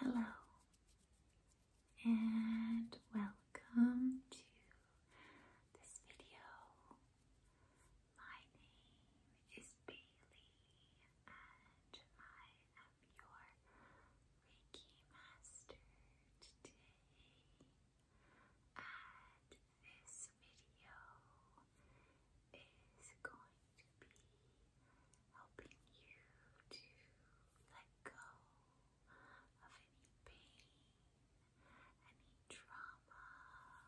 Hello, and welcome to this video. My name is Bailey, and I am your Reiki Master today. And this video is going to be helping you to let go of any pain, any trauma,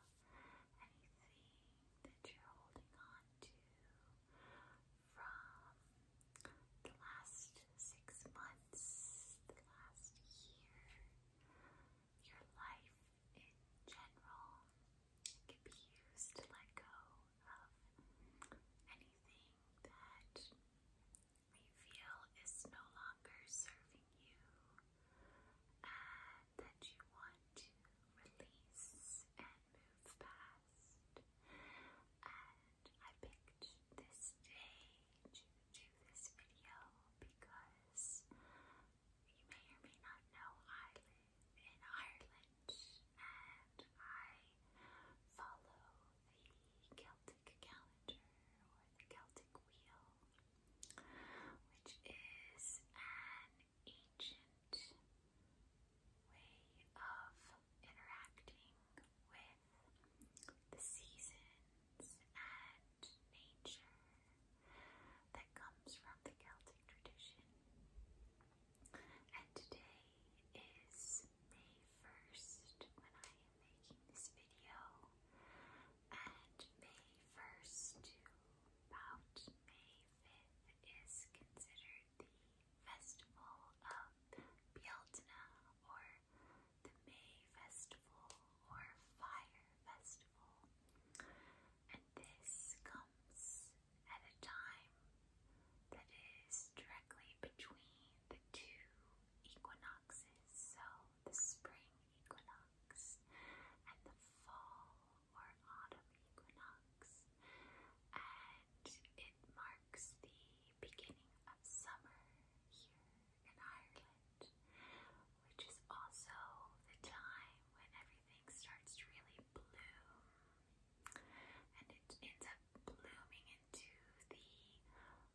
anything that you're holding on to from the last six months, the last year, your life in general can be used to let go of anything that you feel is no longer serving you and uh, that you want to release and move past. And I picked this day to do this video because you may or may not know I in Ireland, and I follow the Celtic calendar or the Celtic wheel, which is an ancient way of interacting with the seasons and nature that comes from the Celtic tradition. And today is May 1st when I am making this video. And May 1st to about May 5th is considered the Festival of Bjeltna or the May Festival or Fire Festival this comes at a time that is directly between the two equinoxes, so the spring equinox and the fall or autumn equinox. And it marks the beginning of summer here in Ireland, which is also the time when everything everything starts really bloom and it ends up blooming into the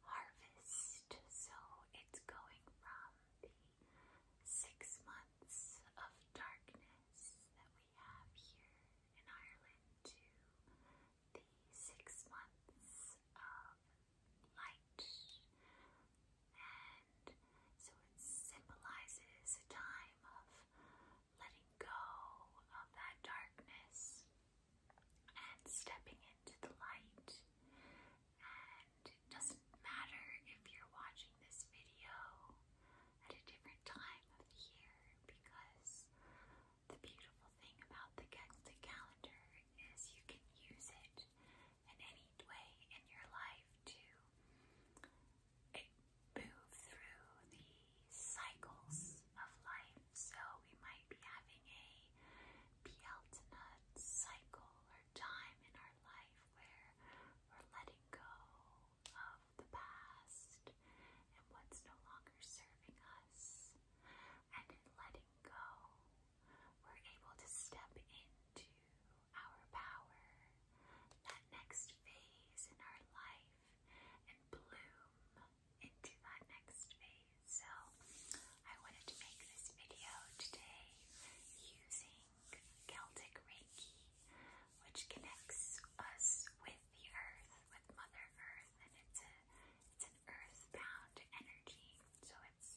harvest. So it's going from the six months of darkness that we have here in Ireland to the six months of light. So it symbolizes a time of letting go of that darkness and stepping into the light. And it doesn't matter if you're watching this video at a different time of year because the beautiful thing about the, the calendar is you can use it in any way in your life to it moves through the cycles of life. So we might be having a Peltonut cycle or time in our life where we're letting go of the past and what's no longer serving us. And in letting go, we're able to step into our power, that next phase in our life, and bloom into that next phase. So, I wanted to make this video today using Celtic Reiki, which connects us with the earth, with Mother Earth, and it's a it's an earthbound energy. So it's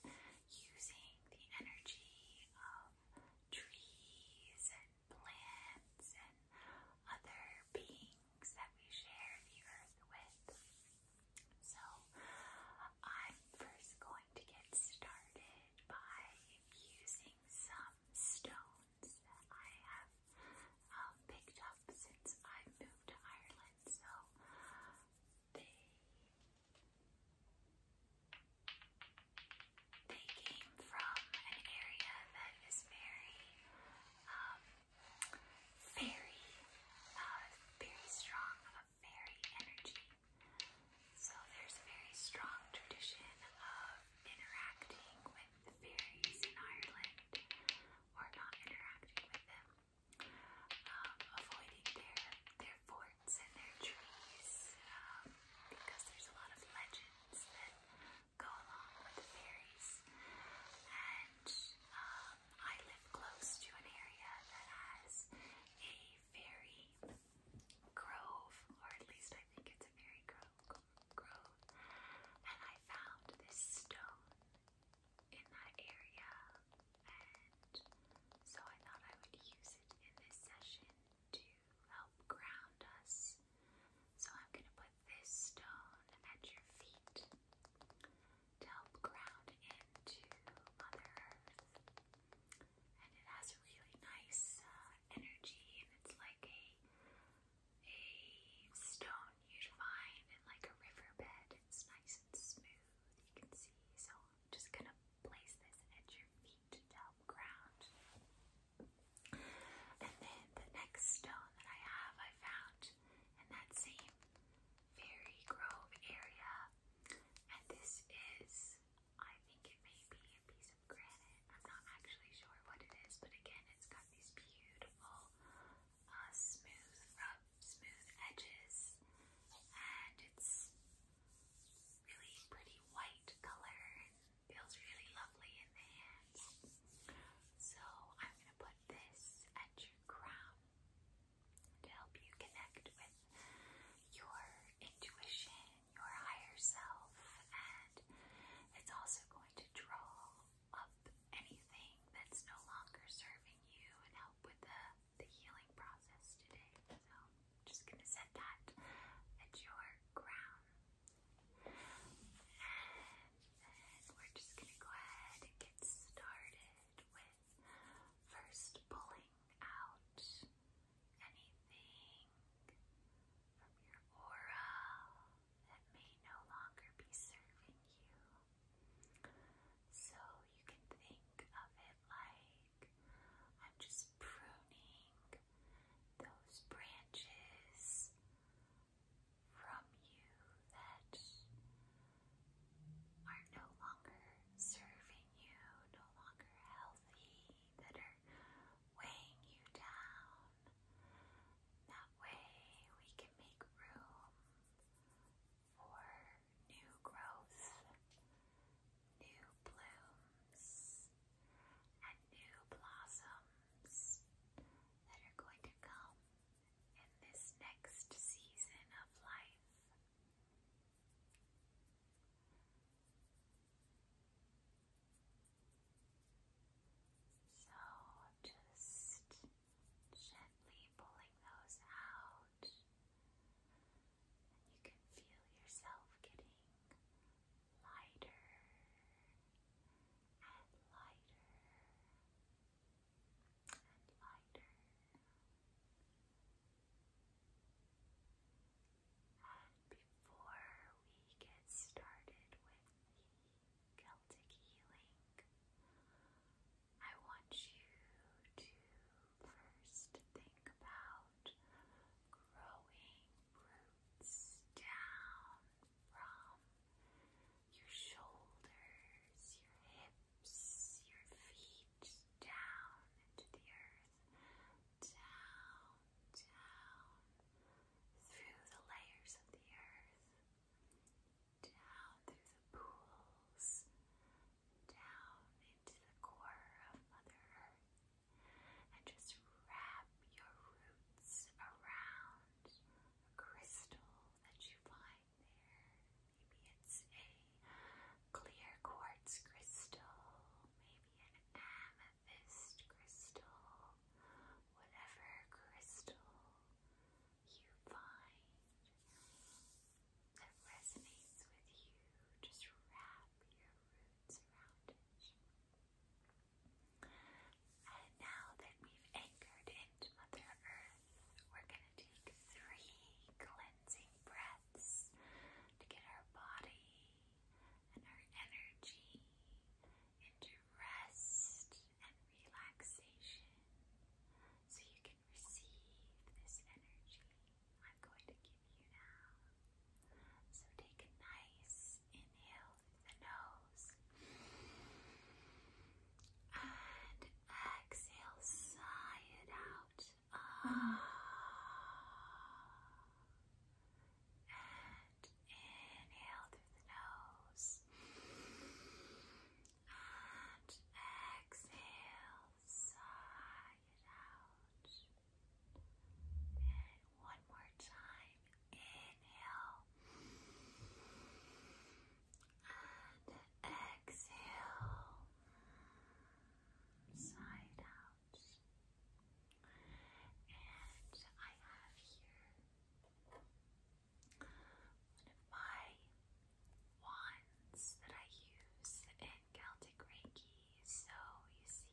using the energy of trees plants and other beings that we share the earth with. So I'm first going to get started by using some stones that I have um, picked up since I moved to Ireland. So they came from an area that is very, um, very, uh, very strong of fairy energy. So there's a very strong tradition of interacting with fairies in Ireland, or not interacting with them, um, avoiding their their birds and their trees um, because there's a lot of legends that go along with fairies. And um, I live close to an area that has a fairy grove, at least I think it's a fairy gro grove. And I found this stone in that area, and so I thought I would use it in this session to help ground us. So I'm going to put this stone at your feet to help ground into Mother Earth. And it has a really nice uh, energy, and it's like a a stone you'd find in like a riverbed. It's nice and smooth. You can see. So I'm just gonna place this at your feet to delve ground. And then the next stone that I have, I found in that same fairy grove area. And this is, I think it may be a piece of granite. I'm not actually sure what it is, but again, it's got these beautiful, uh, smooth, uh, smooth edges. And it's really pretty white color feels really lovely in the hands. So I'm going to put this at your crown to help you connect with your intuition, your higher self, and it's also going to draw up anything that's no longer serving you and help with the, the healing process today. So I'm just gonna set that at your crown. And we're just gonna go ahead and get started with first pulling out anything from your aura that may no longer be serving you. So you can think of it like I'm just pruning those branches from you that are no longer serving you, no longer healthy, that are weighing you down. That way we can make room for new growth new blooms and new blossoms that are going to come in this next season of life. So just gently pulling those out you can feel yourself getting lighter and lighter and lighter. And before we get started with Celtic healing, I want you to first think about growing roots down from your shoulders, your hips, your feet down into the earth, down, down through the layers of the earth, down through the pools, down into the core of Mother Earth and just wrap your roots around a crystal that you find there. Maybe it's a clear quartz crystal, maybe an amethyst crystal, whatever crystal you find that resonates with you. Just wrap your roots around it. And now that we've anchored into Mother Earth, we're going to take three cleansing breaths to get our body and our energy into rest and relaxation so you can receive this energy. I'm going to give you now. So take a nice inhale through the nose and exhale, sigh it out. Ah. And inhale through the nose and exhale sigh it out. And one more time. Inhale. And exhale. Sigh out. And I have here one of my wands that I use in Celtic Reiki. So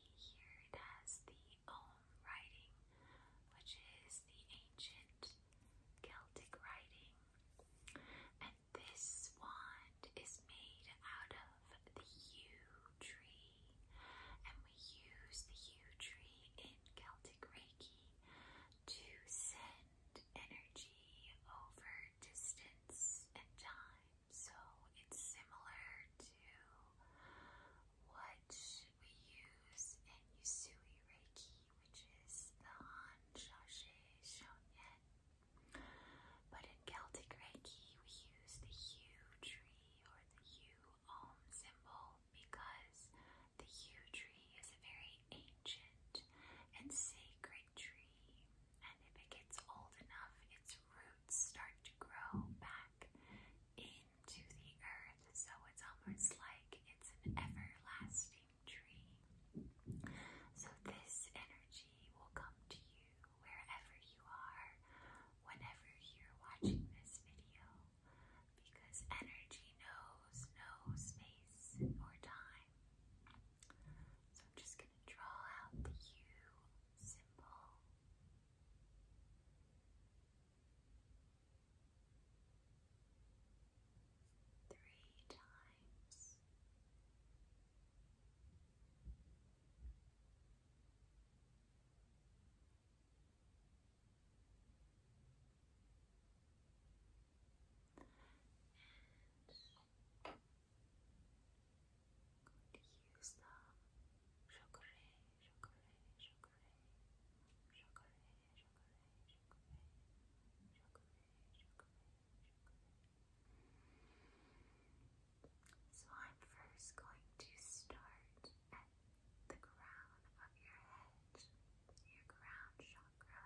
you see here it has the Om writing, which is the ancient Celtic writing. And this wand is made out of the yew tree. And we use the yew tree in Celtic Reiki to send energy over distance and time. So it's similar to what we use in Yusui Reiki, which is the Han Shashe Shonyen. But in Celtic Reiki, we use the Yew tree or the Yew Om symbol because the Yew tree is a very ancient and sacred tree. And if it gets old enough, its roots start to grow back into the earth. So it's almost like it's an everlasting tree. So this energy will come to you wherever you are, whenever you're watching this video, because energy knows no space or time. So I'm just going to draw out the U symbol. Three times. Going to So I'm first going to start at the crown of your head, your crown chakra.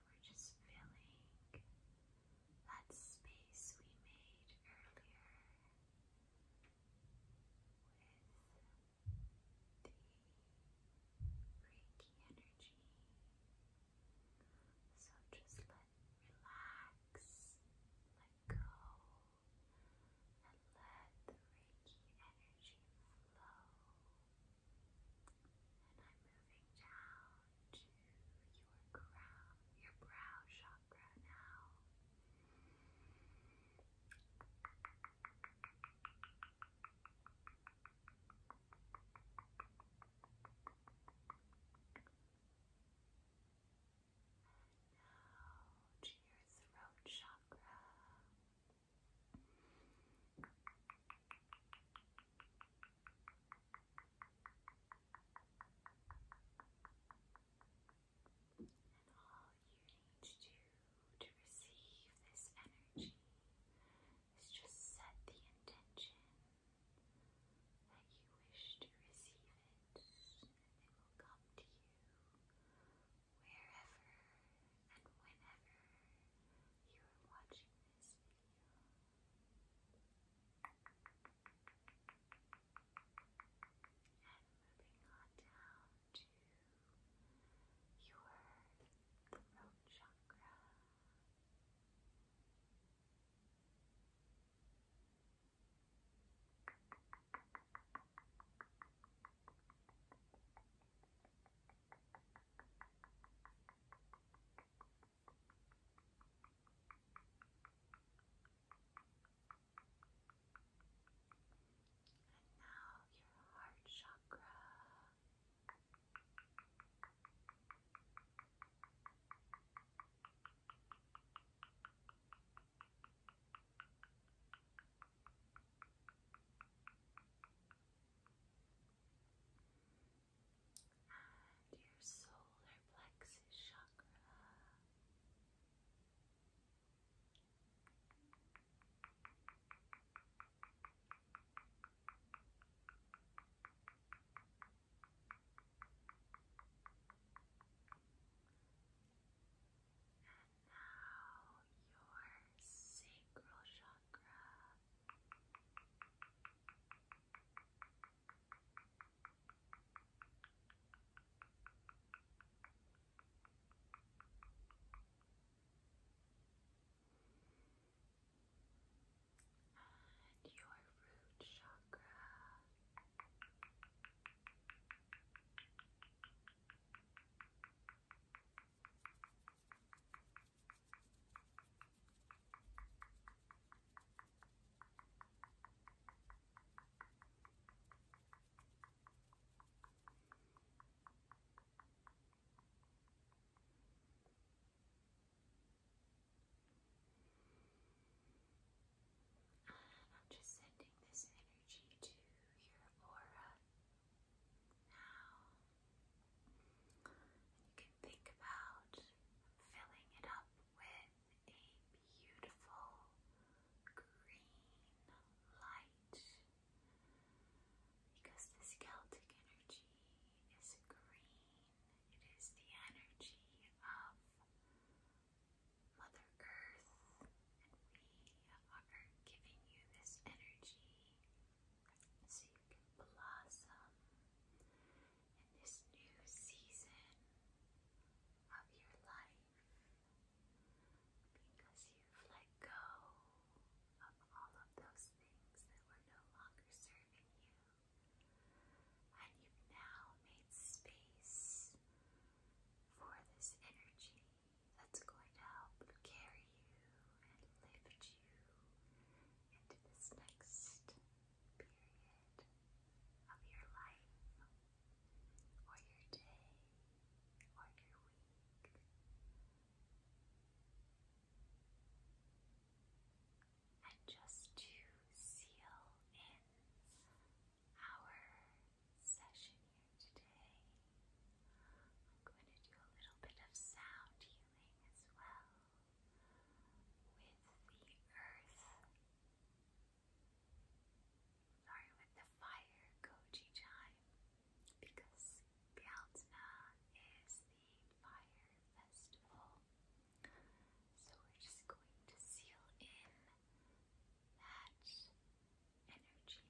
we're just filling that space we made earlier with the Reiki energy. So just let relax, let go, and let the Reiki energy flow. And I'm moving down to your crown, your brow chakra now. And now to your throat chakra need to do to receive this energy is just set the intention that you wish to receive it, and it will come to you wherever and whenever you are watching this video. And moving on down to your throat chakra. Your and now your heart chakra. Your and your solar plexus chakra. And now your sacral chakra. And your root chakra. I'm just sending this energy to your aura. Now, you can think about filling it up with a beautiful green light because this Celtic energy is green, it is the energy of. Mother Earth, and we are giving you this energy so you can blossom in this new season of your life because you've let go of all of those things that were no longer serving you. And you've now made space for this energy that's going to help carry you and lift you into this next period of your life, or your day, or your week. And just to seal in our session here today, I'm going to do a little bit of sound healing as well with the earth. Sorry, with the fire koji chime because Bjaltna is the fire festival. So we're just going to seal in that energy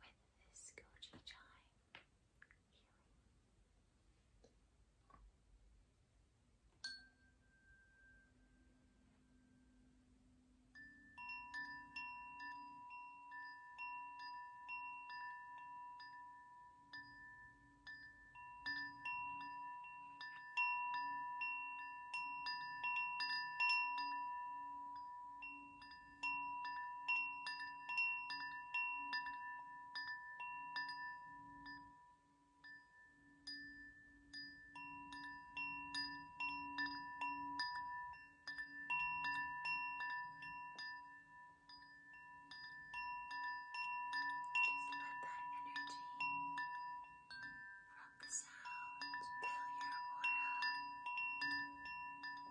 with this goji chime just let that energy from the sound fill your aura.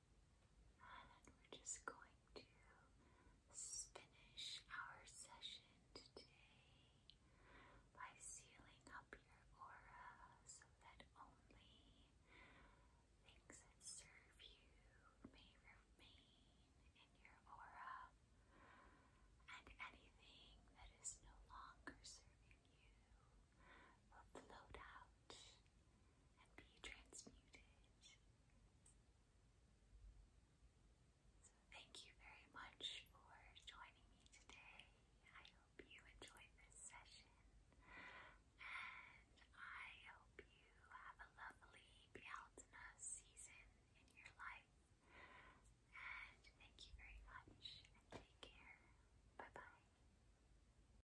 And we're just going to finish our session today by sealing up your aura so that only things that serve you may remain in your aura. And anything that is no longer serving you float out and be transmuted. thank you very much for joining me today. I hope you enjoyed this session, and I hope you have a lovely Bialtina season in your life. And thank you very much, and take care. Bye bye.